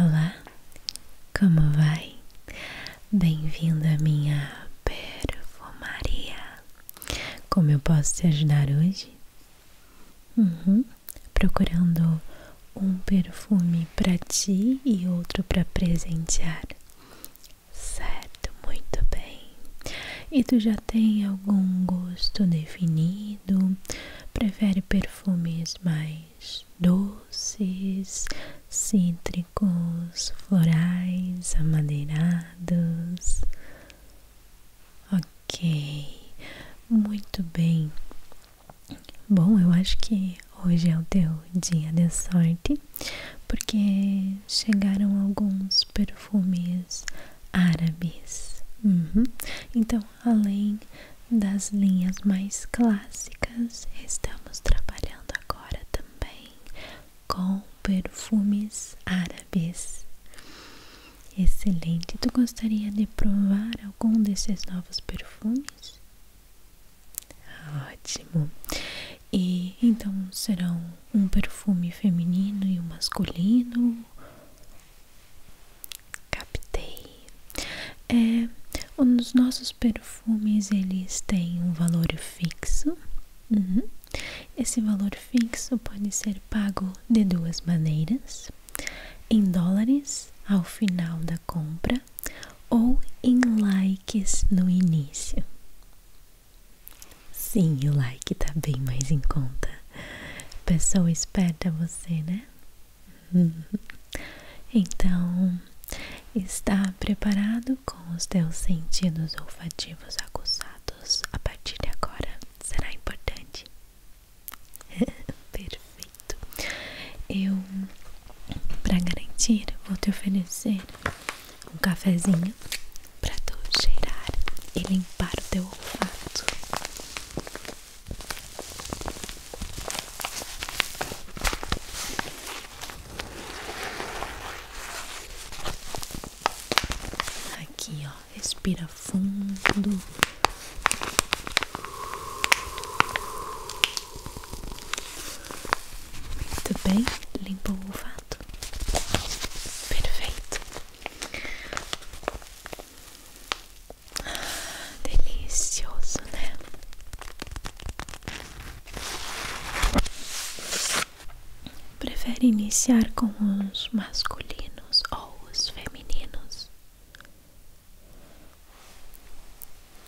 Olá, como vai? Bem-vindo à minha perfumaria. Como eu posso te ajudar hoje? Uhum, procurando um perfume para ti e outro para presentear. Certo, muito bem. E tu já tem algum gosto definido? Prefere perfumes mais doces, cítricos, florais, amadeirados? Ok, muito bem. Bom, eu acho que hoje é o teu dia de sorte, porque chegaram alguns perfumes árabes. Uhum. Então, além das linhas mais clássicas, estamos trabalhando agora também com perfumes árabes. Excelente! Tu gostaria de provar algum desses novos perfumes? Ótimo! E então serão um perfume feminino e um masculino? Captei. É, os nossos perfumes eles têm um valor fixo. Uhum. Esse valor fixo pode ser pago de duas maneiras: em dólares ao final da compra ou em likes no início. Sim, o like tá bem mais em conta. Pessoa esperta é você, né? Uhum. Então, está preparado com os teus sentidos olfativos aguçados a partir de agora? Será importante? Perfeito. Eu, para garantir, vou te oferecer um cafezinho para tu cheirar e limpar limpar o teu olfato. Aqui, ó, respira fundo. Muito bem, limpou o olfato. Perfeito. Delicioso, né? Prefere iniciar com os masculinos ou os femininos?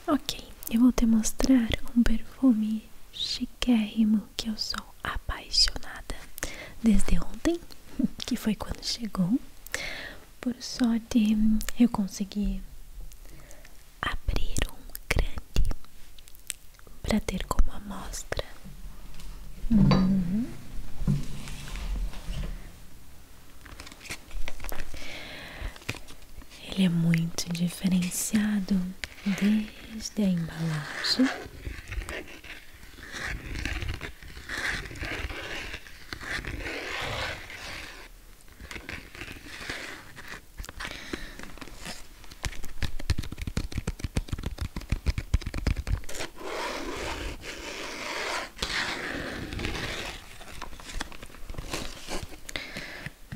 Ok, eu vou te mostrar um perfume chiquérrimo que eu sou apaixonada. Desde ontem que foi quando chegou. Por sorte, eu consegui abrir um grande para ter como amostra. Uhum. Ele é muito diferenciado desde a embalagem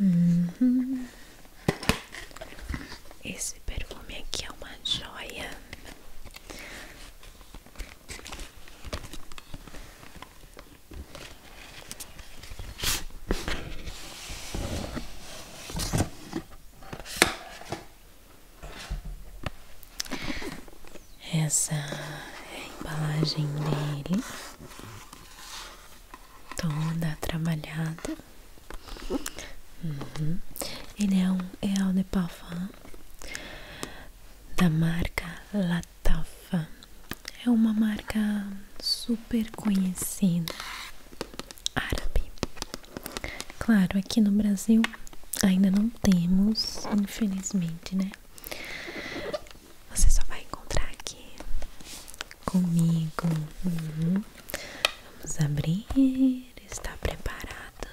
Uhum. Esse perfume aqui é uma joia. Essa é embalagem dele, toda trabalhada. Uhum. Ele é um Eau é de Parfum da marca Latafa. É uma marca super conhecida árabe. Claro, aqui no Brasil ainda não temos, infelizmente, né? Você só vai encontrar aqui comigo. Uhum. Vamos abrir dormir, está preparado?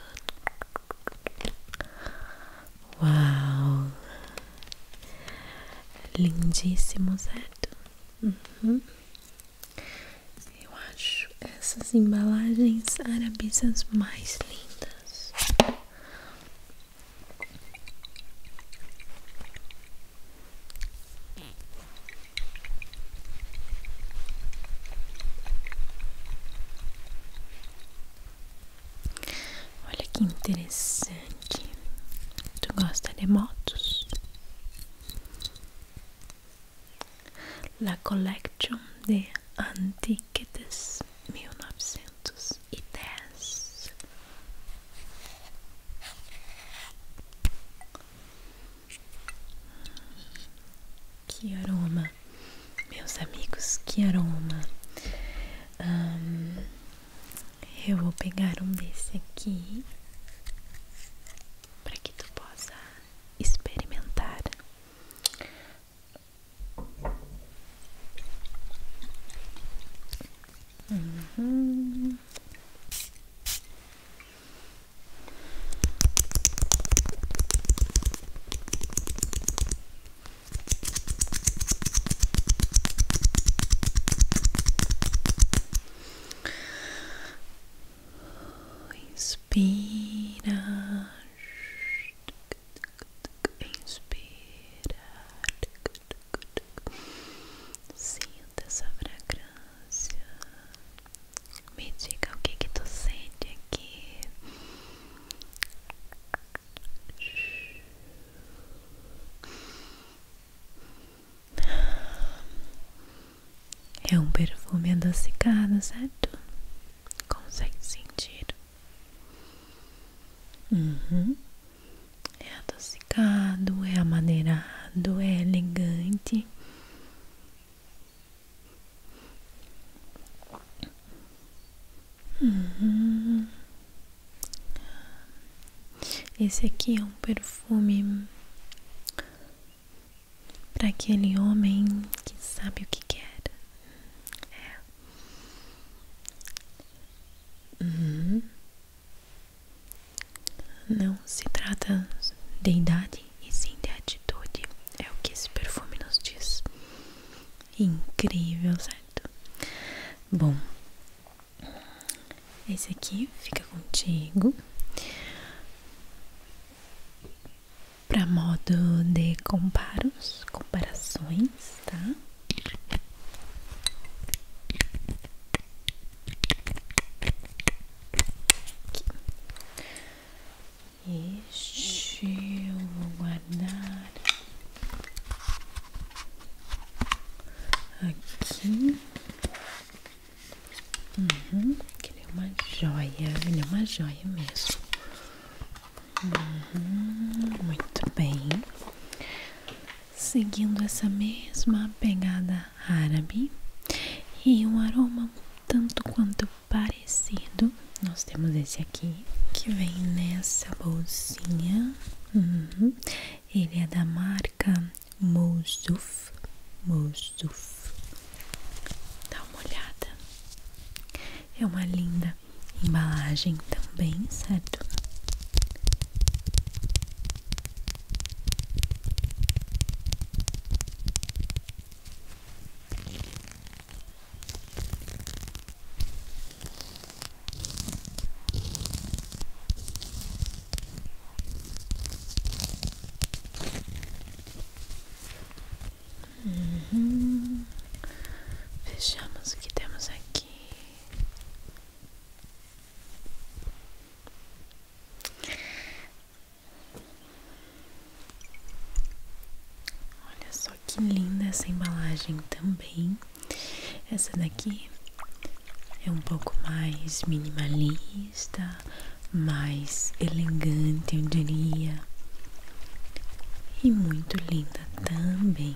Uau! Lindíssimo, certo? Uhum. Eu acho essas embalagens arabisas mais lindas. Olha que interessante. Tu gosta de motos? La Collection de mil novecentos e dez. Que aroma meus amigos, que aroma! Hum, eu vou pegar um desse aqui para que tu possa experimentar. Uhum. Inspira, inspira, sinta essa fragrância. Me diga o que que tu sente aqui. É um perfume adocicado, certo? Consegue sentir? Uhum. É adocicado, é amadeirado, é elegante. Uhum. Esse aqui é um perfume para aquele homem que sabe o que quer. É. Uhum. Não se trata de idade, e sim de atitude. É o que esse perfume nos diz. Incrível, certo? Bom, esse aqui fica contigo. Para modo de comparos, comparações, tá? Este eu vou guardar aqui. Uhum. que ele é uma joia, ele é uma joia mesmo. Uhum. muito bem. Seguindo essa mesma pegada árabe e um aroma tanto quanto parecido. Nós temos esse aqui que vem nessa bolsinha. Uhum. Ele é da marca Mousuf. Mousuf. Dá uma olhada. É uma linda embalagem também, certo? Uhum. Fechamos o que temos aqui. Olha só que linda essa embalagem também. Essa daqui é um pouco mais minimalista, mais elegante, eu diria. E muito linda também.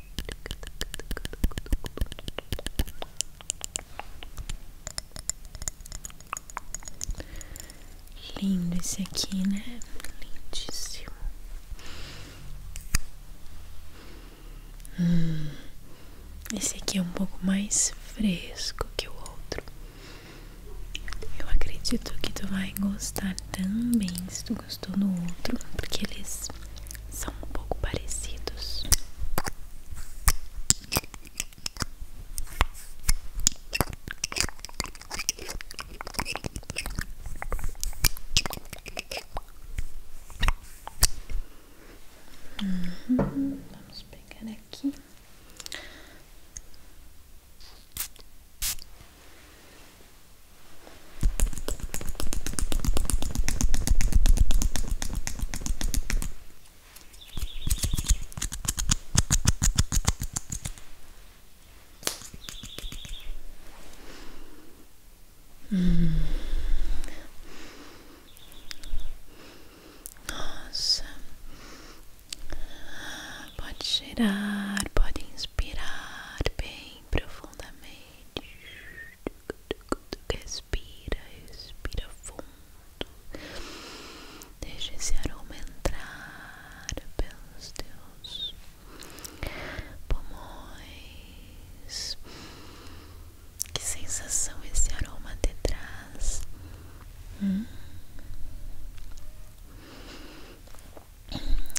Lindo esse aqui, né? Lindíssimo. Hum, esse aqui é um pouco mais fresco que o outro. Eu acredito que tu vai gostar também se tu gostou do outro, porque eles são um pouco parecidos. vamos pegar aqui. Hum. Nossa, pode cheirar, pode inspirar bem profundamente. Respira, respira fundo. Deixa esse aroma entrar pelo Deus, pulmões. Que sensação esse aroma te traz. Hum?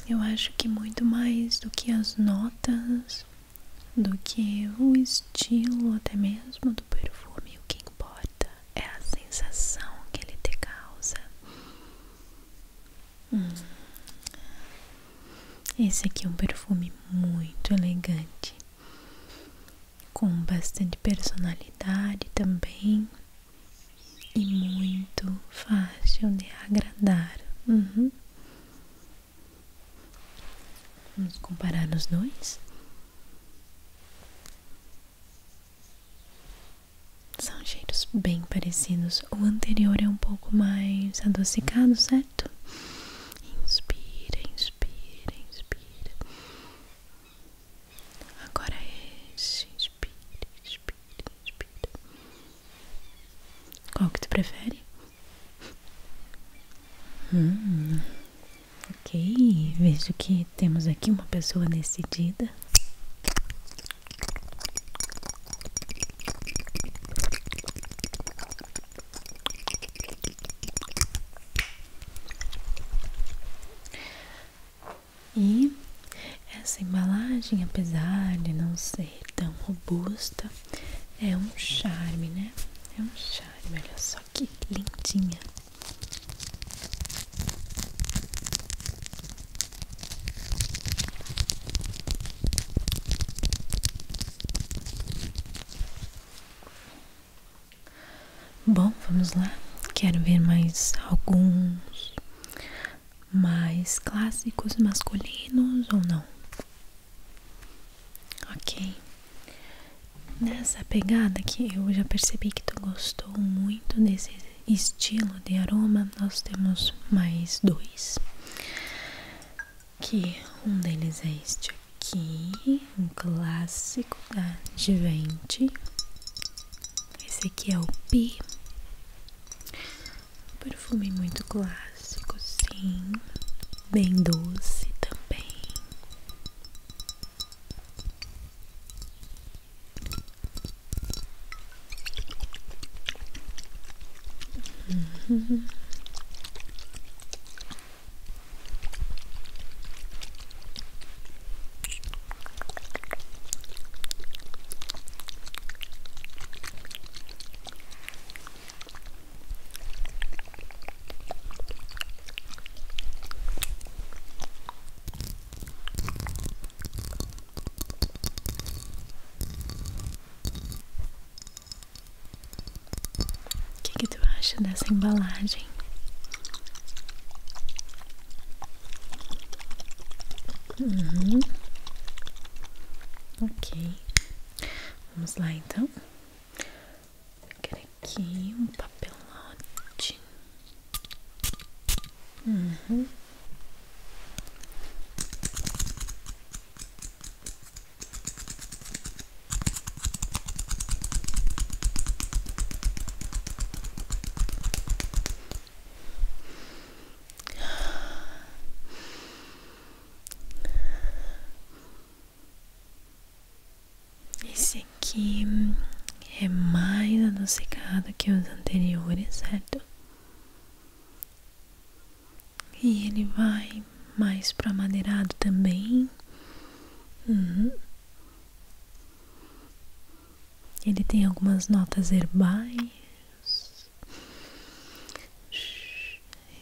Eu acho que muito mais do que as notas do que o estilo até mesmo do perfume. O que importa é a sensação que ele te causa. Hum. Esse aqui é um perfume muito elegante, com bastante personalidade também e muito fácil de agradar. Uhum. Vamos comparar os dois. São cheiros bem parecidos. O anterior é um pouco mais adocicado, certo? Inspira, inspira, inspira. Agora é este, inspira, inspira, inspira. Qual que tu prefere? Hum, ok, vejo que temos aqui uma pessoa decidida. E essa embalagem, apesar de não ser tão robusta, é um charme, né? É um charme, olha só que lindinha. Bom, vamos lá. Quero ver mais alguns mais clássicos masculinos ou não? Ok. Nessa pegada que eu já percebi que tu gostou muito desse estilo de aroma, nós temos mais dois. Que um deles é este aqui, um clássico da Givente. Esse aqui é o P, Um perfume muito clássico clássico, bem doce também. Uhum. O que, que tu acha dessa embalagem? Uhum. Ok, vamos lá então. Quero aqui um papelote. Uhum. Esse aqui é mais adocicado que os anteriores, certo? E ele vai mais pro madeirado também. Uhum. Ele tem algumas notas herbais.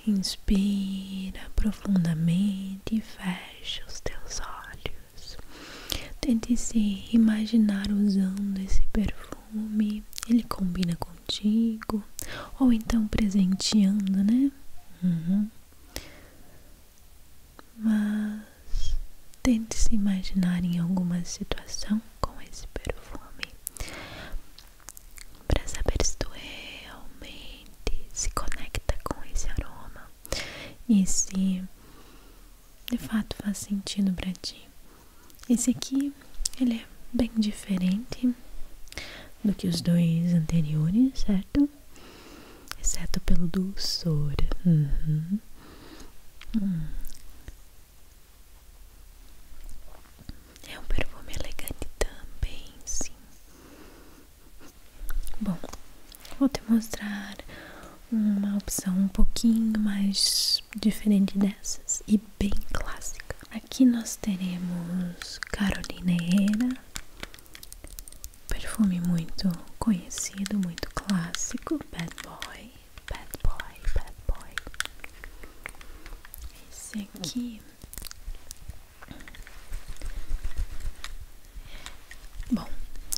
Inspira profundamente e fecha os teus olhos. Tente se imaginar usando esse perfume. Ele combina contigo. Ou então presenteando, né? Uhum. Mas tente se imaginar em alguma situação com esse perfume para saber se tu realmente se conecta com esse aroma e se de fato faz sentido para ti. Esse aqui ele é bem diferente do que os dois anteriores, certo? Exceto pelo dulçor. Uhum. Hum. É um perfume elegante também, sim. Bom, vou te mostrar uma opção um pouquinho mais diferente dessas e bem clássica. Aqui nós teremos Carolina Herrera, perfume muito conhecido, muito clássico, Bad Boy, Bad Boy, Bad Boy. Esse aqui Bom,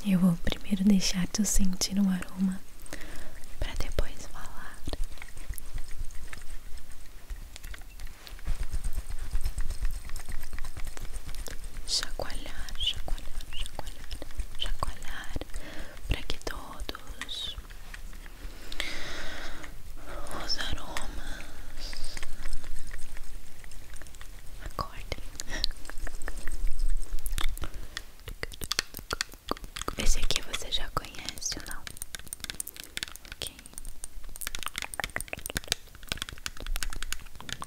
eu vou primeiro deixar te sentir o um aroma para depois falar. Chacoalhar, chacoalhar, chacoalhar, chacoalhar para que todos os aromas acordem esse aqui você já conhece ou não? ok hum,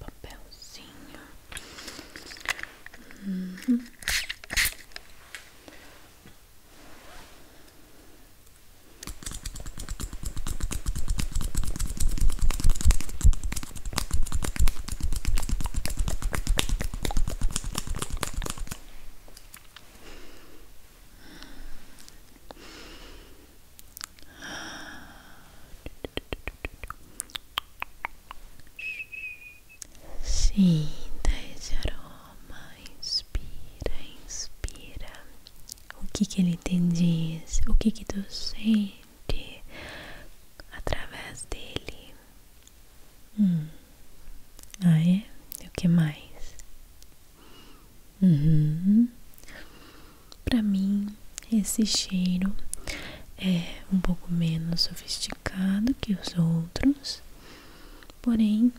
Vamos papelzinho. Sinta esse aroma, inspira, inspira. O que que ele te diz? O que que tu sente através dele? Hum. Ah é? E o que mais? Uhum. Para mim, esse cheiro é um pouco menos sofisticado que os outros, porém,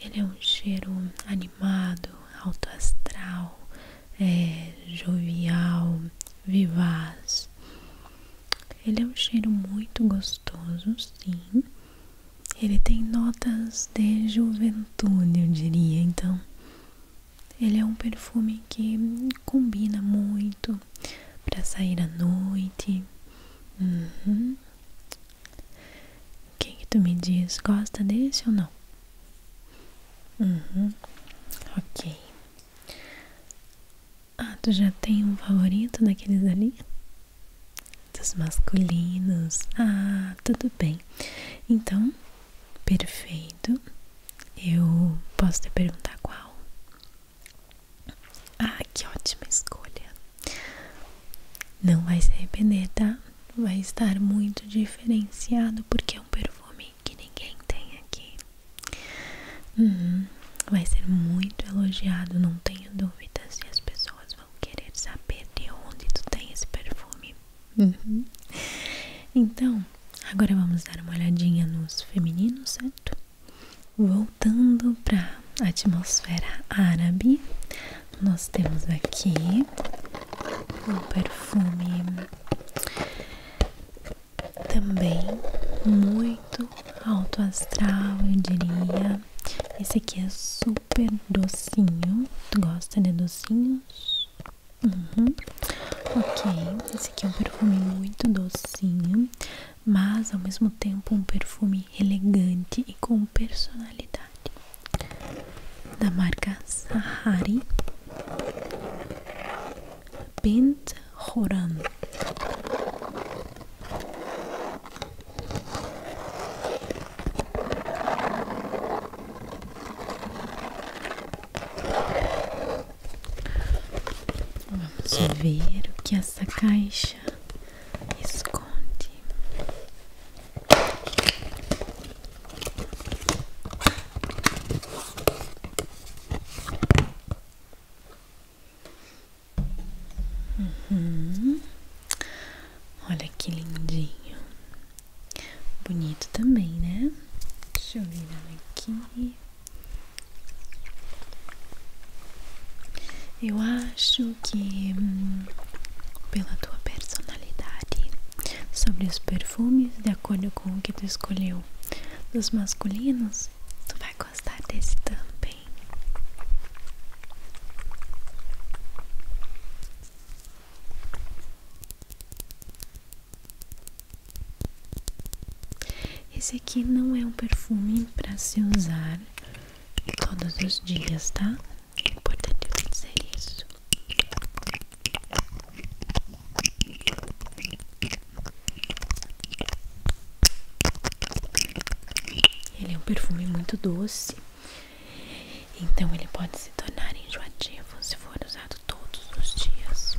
ele é um cheiro animado, alto astral, é, jovial, vivaz. Ele é um cheiro muito gostoso, sim. Ele tem notas de juventude, eu diria. Então, ele é um perfume que combina muito para sair à noite. Uhum. O que tu me diz? Gosta desse ou não? Uhum. Ok. Ah, tu já tem um favorito daqueles ali? Dos masculinos. Ah, tudo bem. Então, Perfeito. Eu posso te perguntar qual? Ah, que ótima escolha. Não vai se arrepender, tá? Vai estar muito diferenciado porque é um perfume que ninguém tem aqui. Uhum. Vai ser muito elogiado, não tenho dúvidas. E as pessoas vão querer saber de onde tu tem esse perfume. Uhum. Então, agora vamos dar uma olhadinha nos femininos, certo? Voltando para a atmosfera árabe, nós temos aqui um perfume também muito alto astral, eu diria. Esse aqui é super docinho. Tu gosta de docinhos? Uhum. Ok, esse aqui é um perfume muito docinho, mas ao mesmo tempo um perfume elegante e com personalidade. Da marca Sahari Bent Horan. Vamos ver o que essa caixa esconde. Uhum. Olha que lindinho, bonito também, né? Deixa eu virar aqui. Eu acho que hum, pela tua personalidade sobre os perfumes, de acordo com o que tu escolheu dos masculinos, tu vai gostar desse também. Esse aqui não é um perfume para se usar todos os dias, tá? É importante dizer isso. Ele é um perfume muito doce, então ele pode se tornar enjoativo se for usado todos os dias.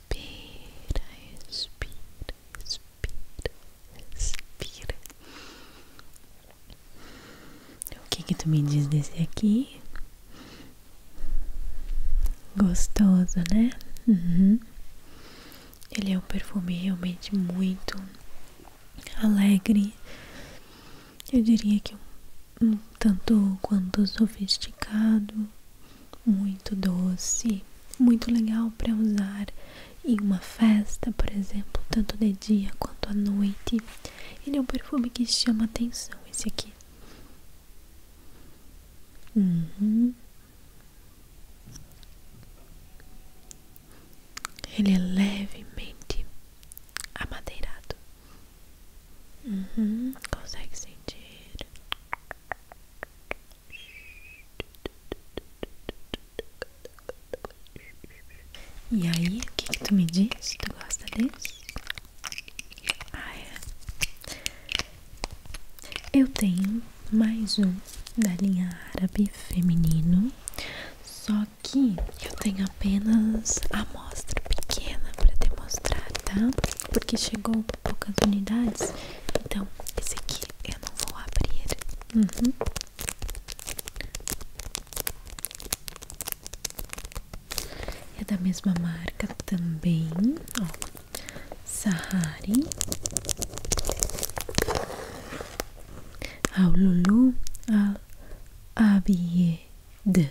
Respira, respira, respira, respira. O que que tu me diz desse aqui? Gostoso, né? Uhum. Ele é um perfume realmente muito alegre. Eu diria que um tanto quanto sofisticado muito doce, muito legal para usar em uma festa, por exemplo, tanto de dia quanto à noite. Ele é um perfume que chama atenção, esse aqui. Uhum. Ele é levemente amadeirado. Uhum. Consegue sentir? E aí, o que, que tu me diz? Tu gosta desse? Ah, é. Eu tenho mais um da linha árabe feminino, só que eu tenho apenas a amostra pequena para te mostrar, tá? Porque chegou poucas unidades Então esse aqui eu não vou abrir uhum. É da mesma marca também Ó Sahari Ao Lulu Abied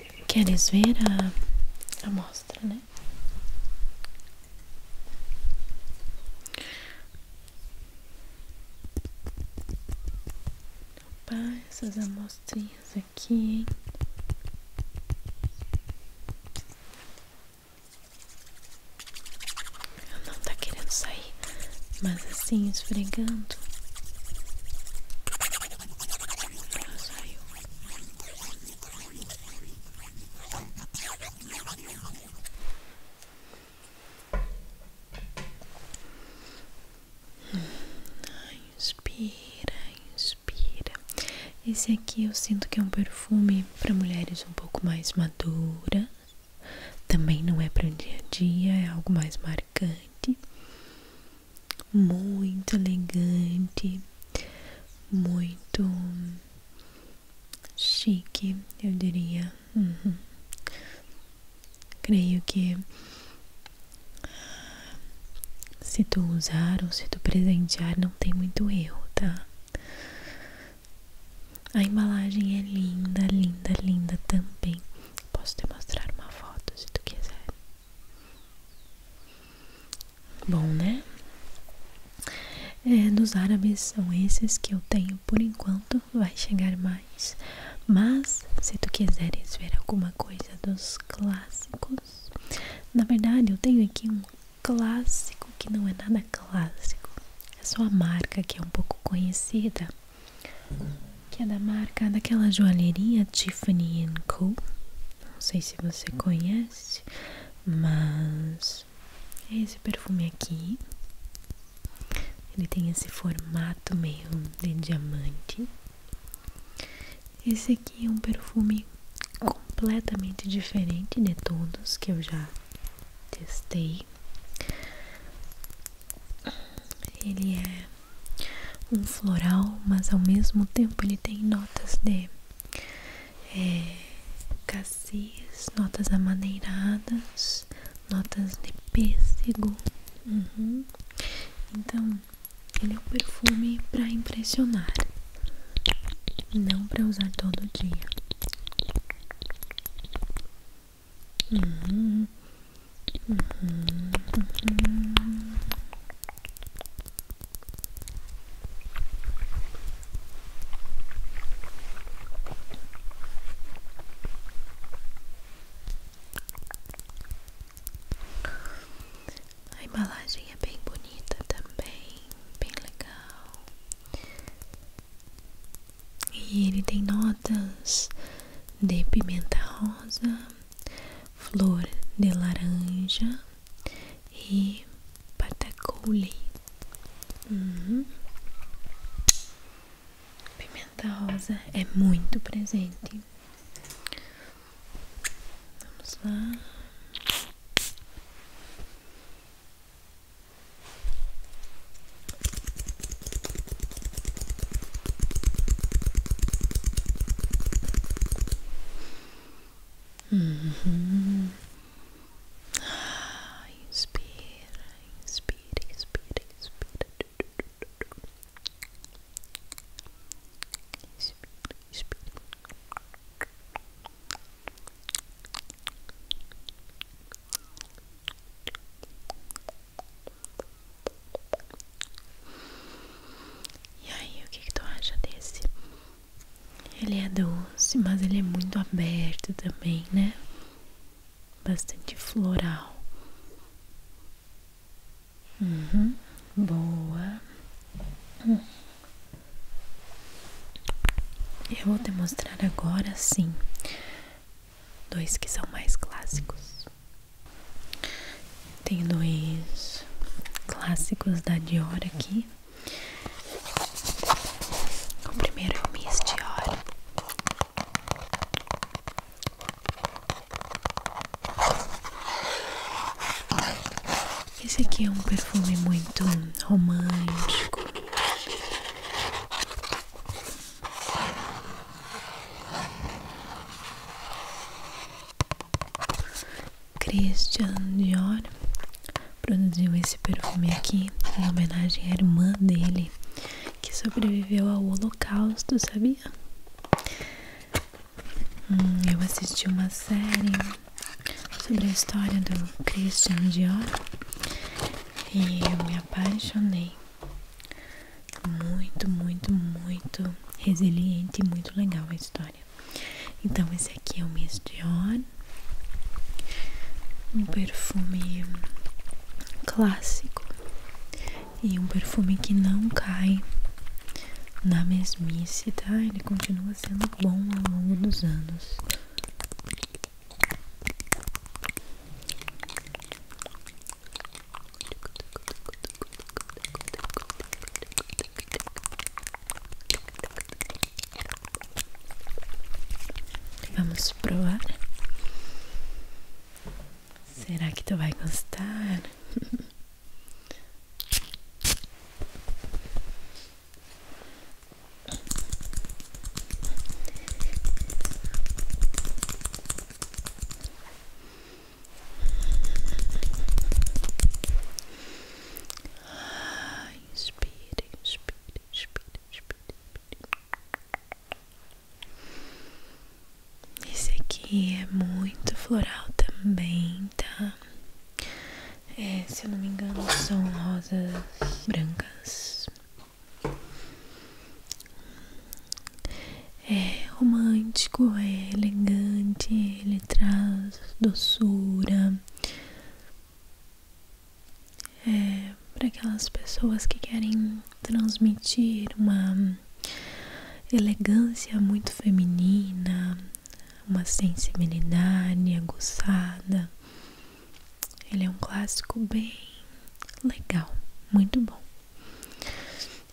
Queres ver a amostra, né? Opa, essas amostrinhas aqui, hein? Não tá querendo sair, mas assim, esfregando. Inspira, inspira. Esse aqui eu sinto que é um perfume para mulheres um pouco mais maduras. Também não é para o dia a dia, é algo mais marcante muito elegante, muito chique, eu diria. Uhum. Creio que se tu usar ou se tu presentear, não tem muito erro, tá? A embalagem é linda, linda, linda também. Posso te mostrar uma foto se tu quiser. Bom, né? É, dos árabes são esses que eu tenho por enquanto, vai chegar mais. Mas se tu quiseres ver alguma coisa dos clássicos, na verdade eu tenho aqui um clássico que não é nada clássico, é só a marca que é um pouco conhecida que é da marca daquela joalheria Tiffany Co. Não sei se você conhece, mas é esse perfume aqui. Ele tem esse formato meio de diamante. Esse aqui é um perfume completamente diferente de todos que eu já testei. Ele é um floral, mas ao mesmo tempo ele tem notas de é, cassis, notas amadeiradas, notas de pêssego. Uhum. Então, ele é um perfume para impressionar, não para usar todo dia. Hum, a embalagem é bem bonita também, bem legal. E ele tem notas de pimenta rosa flor de laranja e patacouli. Uhum. Pimenta rosa é muito presente. Vamos lá. Mm-hmm. Inspira, inspira, inspira, inspira. Inspira, inspira. Inspira, E aí, o que, tu acha desse? Ele é doce, mas ele é muito aberto também, né? Bastante floral. Uhum, boa. Eu vou demonstrar agora sim dois que são mais clássicos. Tem dois clássicos da Dior aqui. O primeiro é o Miss Dior. Esse aqui é um perfume muito romântico. Christian Dior produziu esse perfume aqui em homenagem à irmã dele que sobreviveu ao holocausto, sabia? Hum, eu assisti uma série sobre a história do Christian Dior e eu me apaixonei muito, muito, muito resiliente e muito legal a história. Então, esse aqui é o Miss Dior. Um perfume clássico e um perfume que não cai na mesmice, tá? Ele continua sendo bom ao longo dos anos. Vamos provar. Será que tu vai gostar? Ai, inspire, inspire, inspire, inspire, Esse aqui é muito floral também, tá? É, se eu não me engano, são rosas brancas é romântico, é elegante, ele traz doçura. É para aquelas pessoas que querem transmitir uma elegância muito feminina, uma sensibilidade aguçada. Ele é um clássico bem legal, muito bom.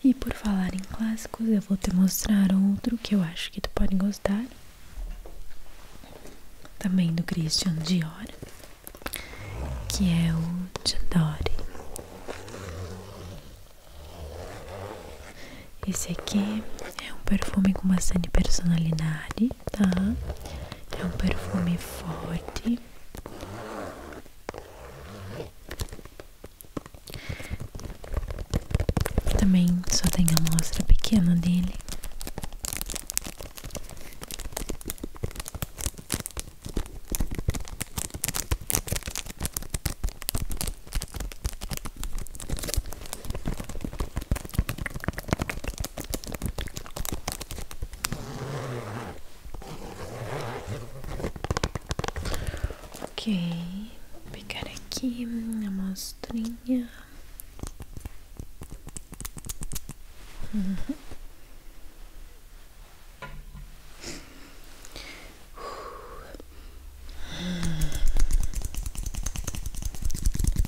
E por falar em clássicos, eu vou te mostrar outro que eu acho que tu pode gostar. Também do Christian Dior, que é o Diodore. Esse aqui é um perfume com bastante personalidade, tá? É um perfume forte. Também só tem a mostra pequena dele. Ok, pegar aqui a amostrinha.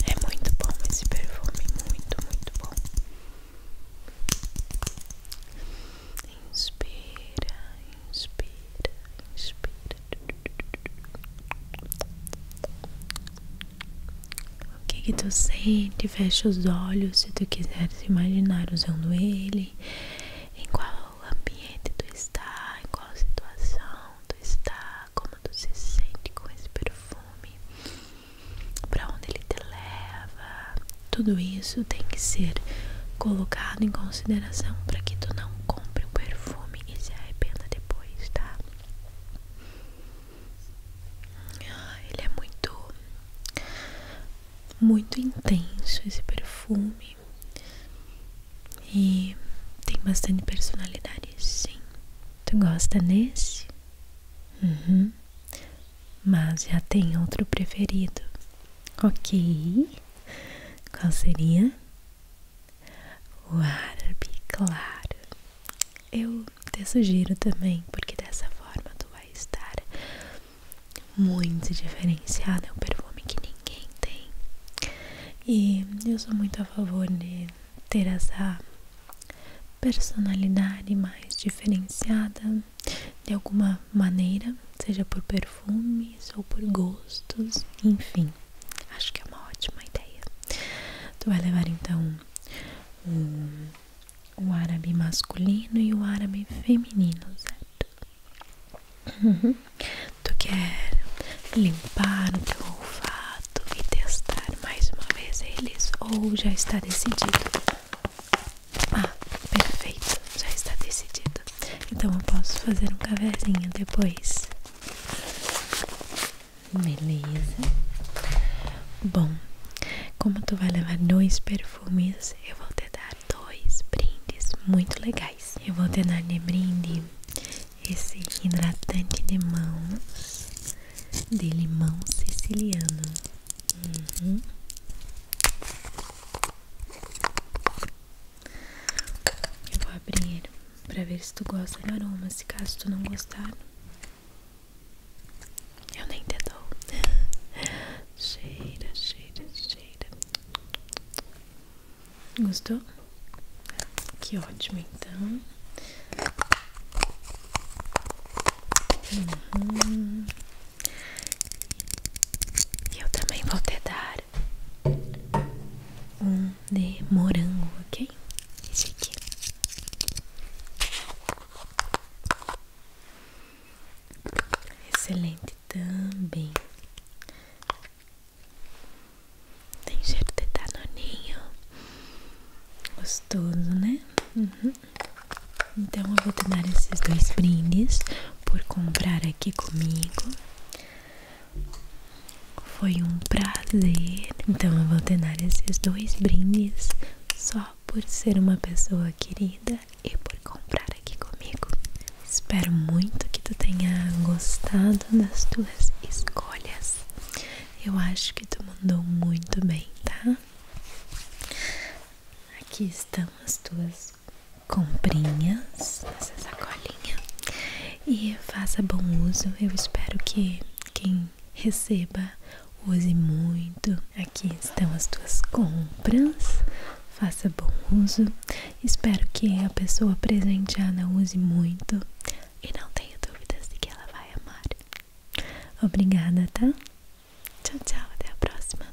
É muito bom esse perfume, muito, muito bom. Inspira, inspira, inspira. O que, que tu sente? Fecha os olhos se tu quiseres imaginar usando ele. Em qual ambiente tu está? Em qual situação tu está? Como tu se sente com esse perfume? Para onde ele te leva? Tudo isso tem que ser colocado em consideração para que tu não não compre o perfume e se arrependa depois, tá? Ah, ele é muito, muito intenso esse perfume e tem bastante personalidade, sim. Tu gosta desse? Uhum. Mas já tem outro preferido. Ok. Qual seria? O árabe, claro. Eu te sugiro também, porque dessa forma tu vai estar muito diferenciada É um perfume que ninguém tem. E eu sou muito a favor de ter essa personalidade mais diferenciada de alguma maneira, seja por perfume perfumes ou por gostos, enfim, acho que é uma ótima ideia. Tu vai levar então o, árabe masculino e o árabe feminino, certo? Uhum. Tu quer limpar o teu olfato e testar mais uma vez eles ou já está decidido? Ah, perfeito, já está decidido. Então eu posso fazer um cafezinho depois. Beleza. Bom, como tu vai levar dois perfumes, eu vou te dar dois brindes muito legais. Eu vou te dar de brinde esse hidratante de mãos de limão siciliano. Uhum. Eu vou abrir para ver se tu gosta do aroma. Se caso tu não gostar, eu nem te dou. cheira, cheira, cheira. Gostou? Que ótimo, então. Uhum. Eu também vou te dar um de morango, ok? Esse aqui. Excelente também. Tem cheiro de danoninho. Gostoso, né? Uhum. Então eu vou te dar esses dois brindes por comprar aqui comigo. Foi um prazer. Então eu vou te dar esses dois brindes só por ser uma pessoa querida e por comprar aqui comigo. Espero muito que tu tenha gostado das tuas escolhas. Eu acho que tu mandou muito bem, tá? Aqui estão as tuas comprinhas nessa sacolinha e faça bom uso. Eu espero que quem receba use muito. Aqui estão as tuas compras. Faça bom uso. Espero que a pessoa presenteada use muito e não tenha dúvidas de que ela vai amar. Obrigada, tá? Tchau, tchau, até a próxima.